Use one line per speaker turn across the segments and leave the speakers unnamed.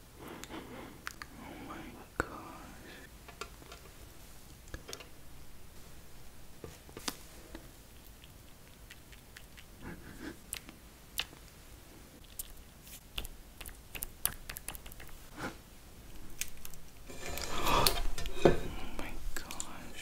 Oh my gosh. oh my gosh. Oh my gosh.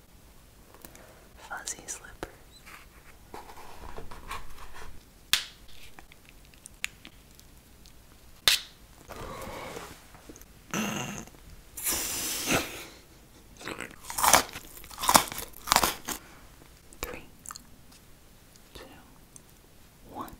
fuzzy slippers. Three, two, one.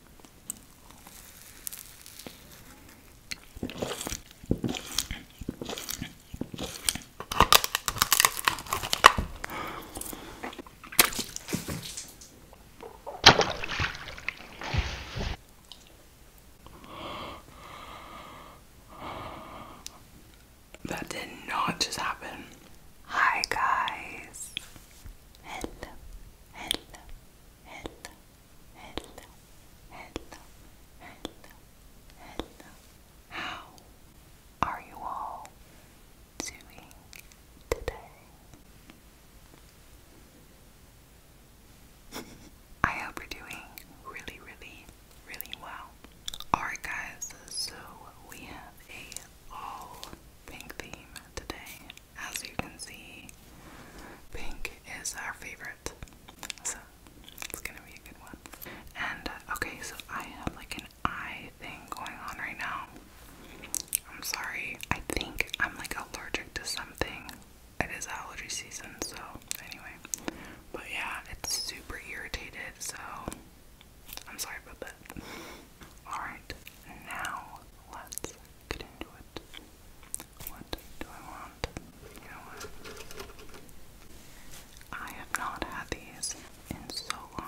That did not just happen. Hi guys. Hello. Hello. Hello hello, hello, hello, hello. How are you all doing today? I hope you're doing really, really, really well. Alright, guys, so we have a all pink theme today. As you can see, pink is our favorite. So it's gonna be a good one. And uh, okay, so I have like an eye thing going on right now. I'm sorry. I think I'm like allergic to something. It is allergy season, so anyway. But yeah, it's super irritated, so I'm sorry about that. Alright, now let's get into it. What do I want? You know what? I have not had these in so long.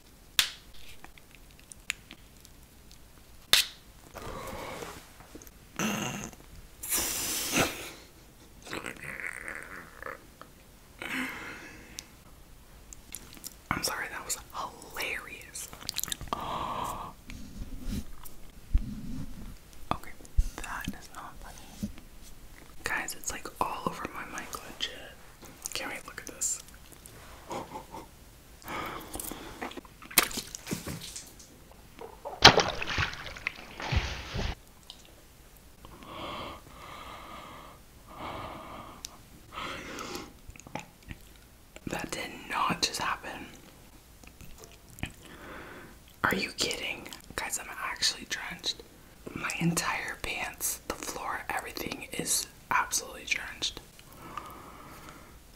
I'm sorry, that was hilarious. Okay, that is not funny. Guys, it's like all over my mic, legit. Can't look at this. That did not just happen. Are you kidding? Guys, I'm actually drenched. My entire pants, the floor, everything is absolutely drenched.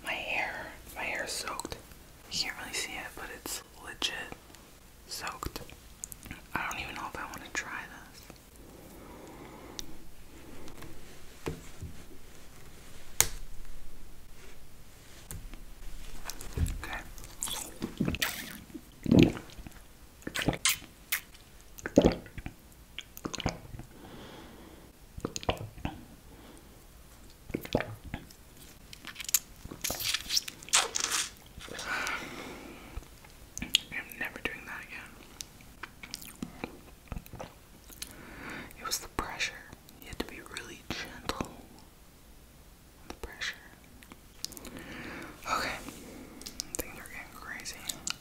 My hair, my hair is soaked. You can't really see it, but it's legit soaked. I don't even know if I want to try this. Okay. I'm never doing that again. It was the pressure. You had to be really gentle. The pressure. Okay. Things are getting crazy.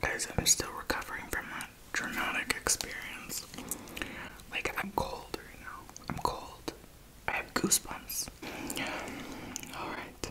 Guys, I'm still recovering from that traumatic experience. Like, I'm cold right now. I'm cold. I have goosebumps. Alright.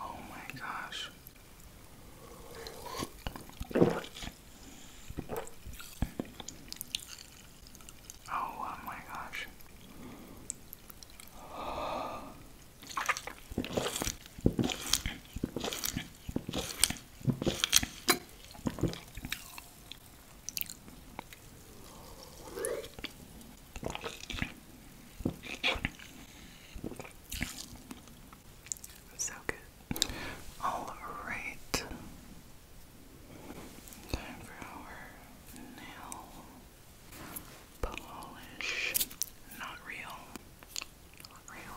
oh my gosh. Oh, oh my gosh. So good. All right. Time for our nail polish. Not real. Not real.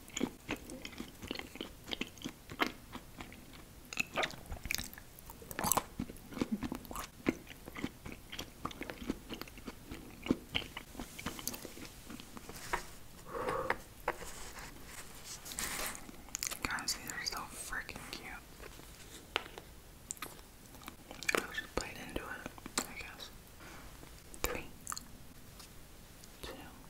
Guys, these are so freaking cute. i just bite into it, I guess. Three, two.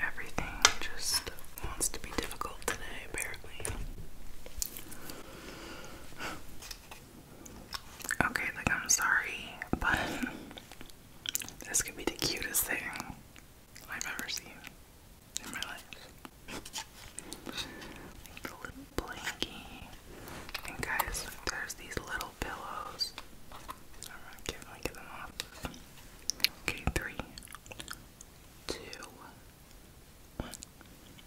Everything just wants to be difficult today, apparently. Okay, like I'm sorry, but this could be the cutest thing I've ever seen in my life. the little blankie. And guys, there's these little pillows. I'm not kidding, get them off. Okay, three, two, one.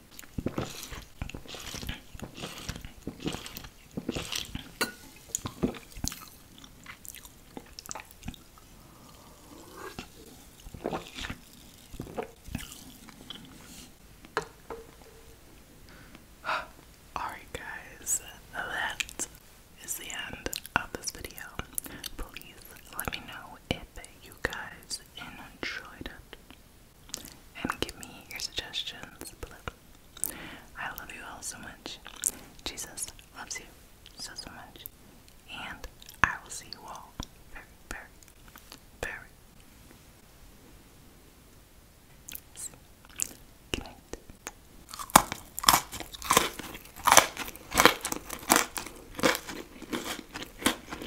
Alright, guys, that is the end of this video. Please let me know if you guys enjoyed it and give me your suggestions below. I love you all so much. Jesus loves you so, so much. And I will see you all very, very, very soon. Good night.